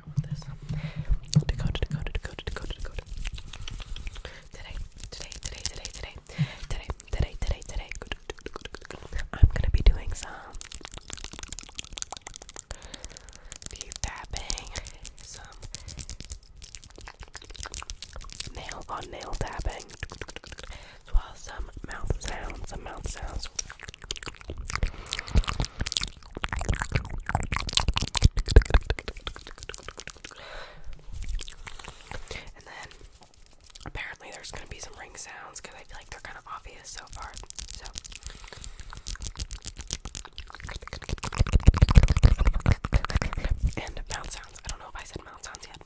wrong with this. Dakota, Dakota, Dakota, Dakota, Dakota. Today, today, today, today, today, today, today, today, today. I'm gonna be doing some teeth tapping, some nail on nail tapping, as well as some mouth sounds, some mouth sounds. And then apparently there's gonna be some ring sounds because I feel like they're kind of obvious so far. So. And mouth sounds. I don't know if I said mouth sounds yet.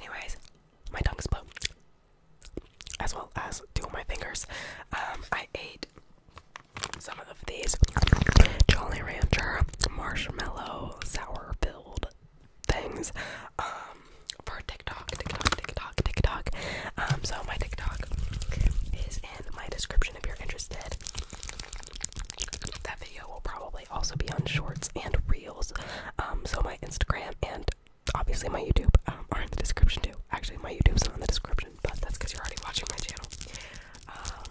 Anyways, my tongue's blown as well as two of my fingers. Um, I ate some of these Jolly Rancher marshmallow sour filled things um, for TikTok, TikTok, TikTok, TikTok. Um, so my TikTok is in my description if you're interested. That video will probably also be on shorts and reels. Um, so my Instagram and obviously my YouTube um, are in the description too. Actually, my YouTube's not in the description, but that's because you're already watching my channel. Um,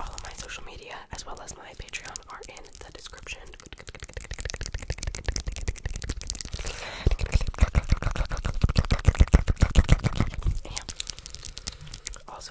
all of my social media, as well as my Patreon, are in the description. also,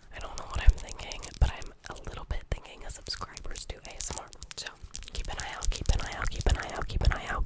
I don't know what I'm thinking, but I'm a little bit thinking of subscribers to ASMR. So keep an eye out, keep an eye out, keep an eye out, keep an eye out.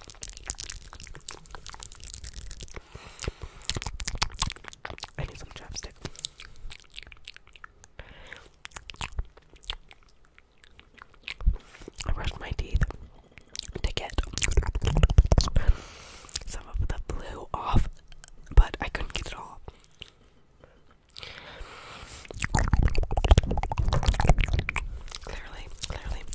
I need some chapstick. I brushed my teeth to get some of the blue off, but I couldn't get it all. Clearly, clearly.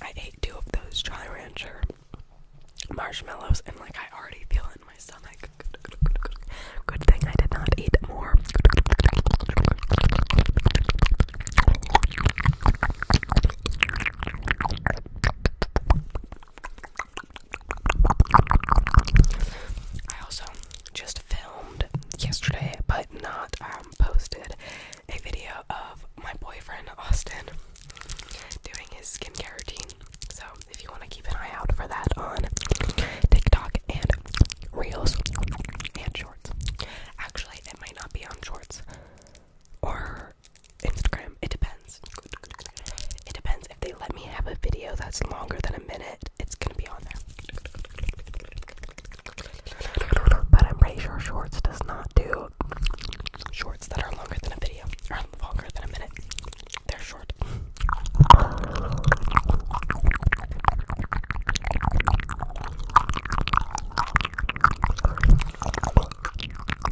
I ate two of those Jolly Rancher marshmallows, and like I already feel in my stomach. Good thing I did not eat more. I also just filmed yesterday, but not um, posted, a video of my boyfriend Austin doing his skincare routine. So if you want to keep an eye out for that on TikTok and Reels and Shorts. Actually, it might not be on Shorts or Instagram. It depends. It depends. If they let me have a video that's longer than a minute, it's gonna be on there. But I'm pretty sure Shorts does not do shorts that are longer than a video or longer than a minute. They're short.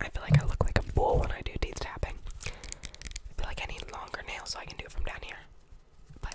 I feel like I look like a fool when I do teeth tapping. I feel like I need longer nails so I can do it from down here. But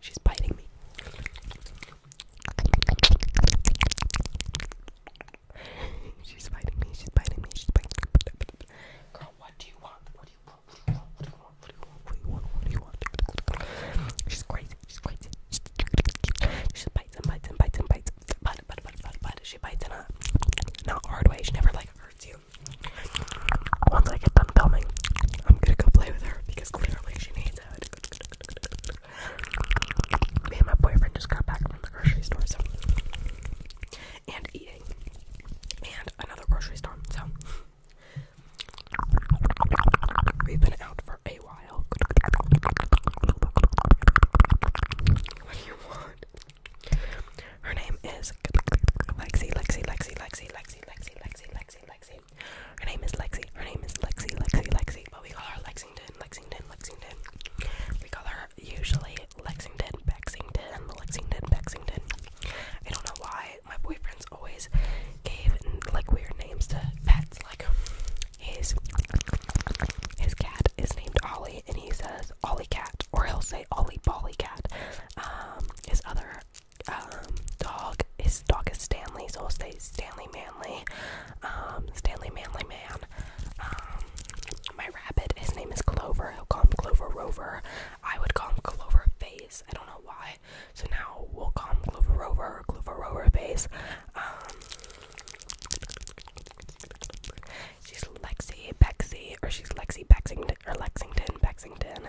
She's biting me. She's biting me. She's biting me. She's biting me. Girl, what do you want? What do you want? What do you want? What do you want? What do you want? What do you want? What do you want? She's crazy. She's crazy. She's she bites and bites and bites and bites. But but but but but she bites in a not hard way. She never like hurts you. Once I get done filming, I'm gonna go play with her because clearly she needs it. and my boyfriend just got back from the grocery store, so and eating, and another grocery store, so we've been out for a while. Her name is Lexi, Lexi, Lexi, Lexi, Lexi, Lexi, Lexi, Lexi, Lexi. Her name is Lexi. Her name is Lexi, Lexi, Lexi. But we call her Lexington, Lexington, Lexington. We call her usually Lexington, Bexington, Lexington, Bexington. I don't know why my boyfriend's always gave like weird names to pets. Like his his cat is named Ollie, and he says Ollie cat, or he'll say Ollie Bolly cat. Um, his other um, dog. His dog is Stanley, so i will say Stanley Manley. Um, Stanley Manley Man. Um, my rabbit, his name is Clover. He'll call him Clover Rover. I would call him Clover Face. I don't know why. So now we'll call him Clover Rover or Clover Rover Face. Um, she's Lexi Bexy, or she's Lexi Bexington, or Lexington Bexington.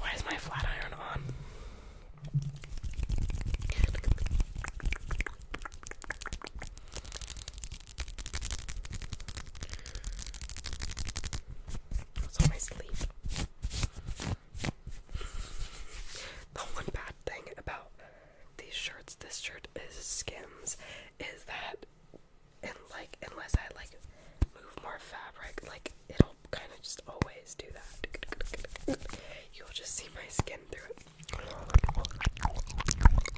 Why is my flat iron on? It's on my sleeve. The one bad thing about these shirts, this shirt is skins, is that and like unless I like move more fabric, like it'll kind of just always do that. You'll just see my skin through it.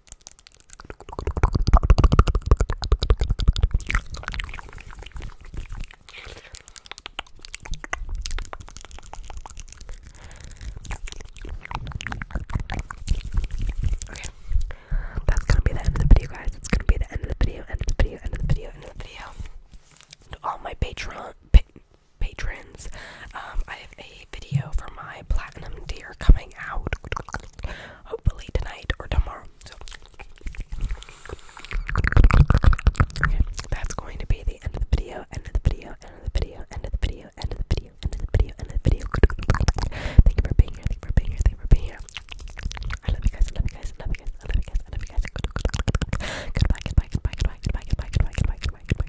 Okay. That's gonna be the end of the video, guys. It's gonna be the end of the video, end of the video, end of the video, end of the video. To all my Patreon, patrons. Um, I have a video for my platinum tier coming out hopefully tonight or tomorrow. So okay, that's going to be the end of the video, end of the video, end of the video, end of the video, end of the video, end of the video, end of the video. Thank you for being here, thank you for being here, thank you for being here. I love you guys, I love you guys, I love you guys, I love you guys, I love you guys. Goodbye, goodbye, goodbye, goodbye, goodbye, goodbye, goodbye, goodbye, goodbye, goodbye, goodbye, goodbye,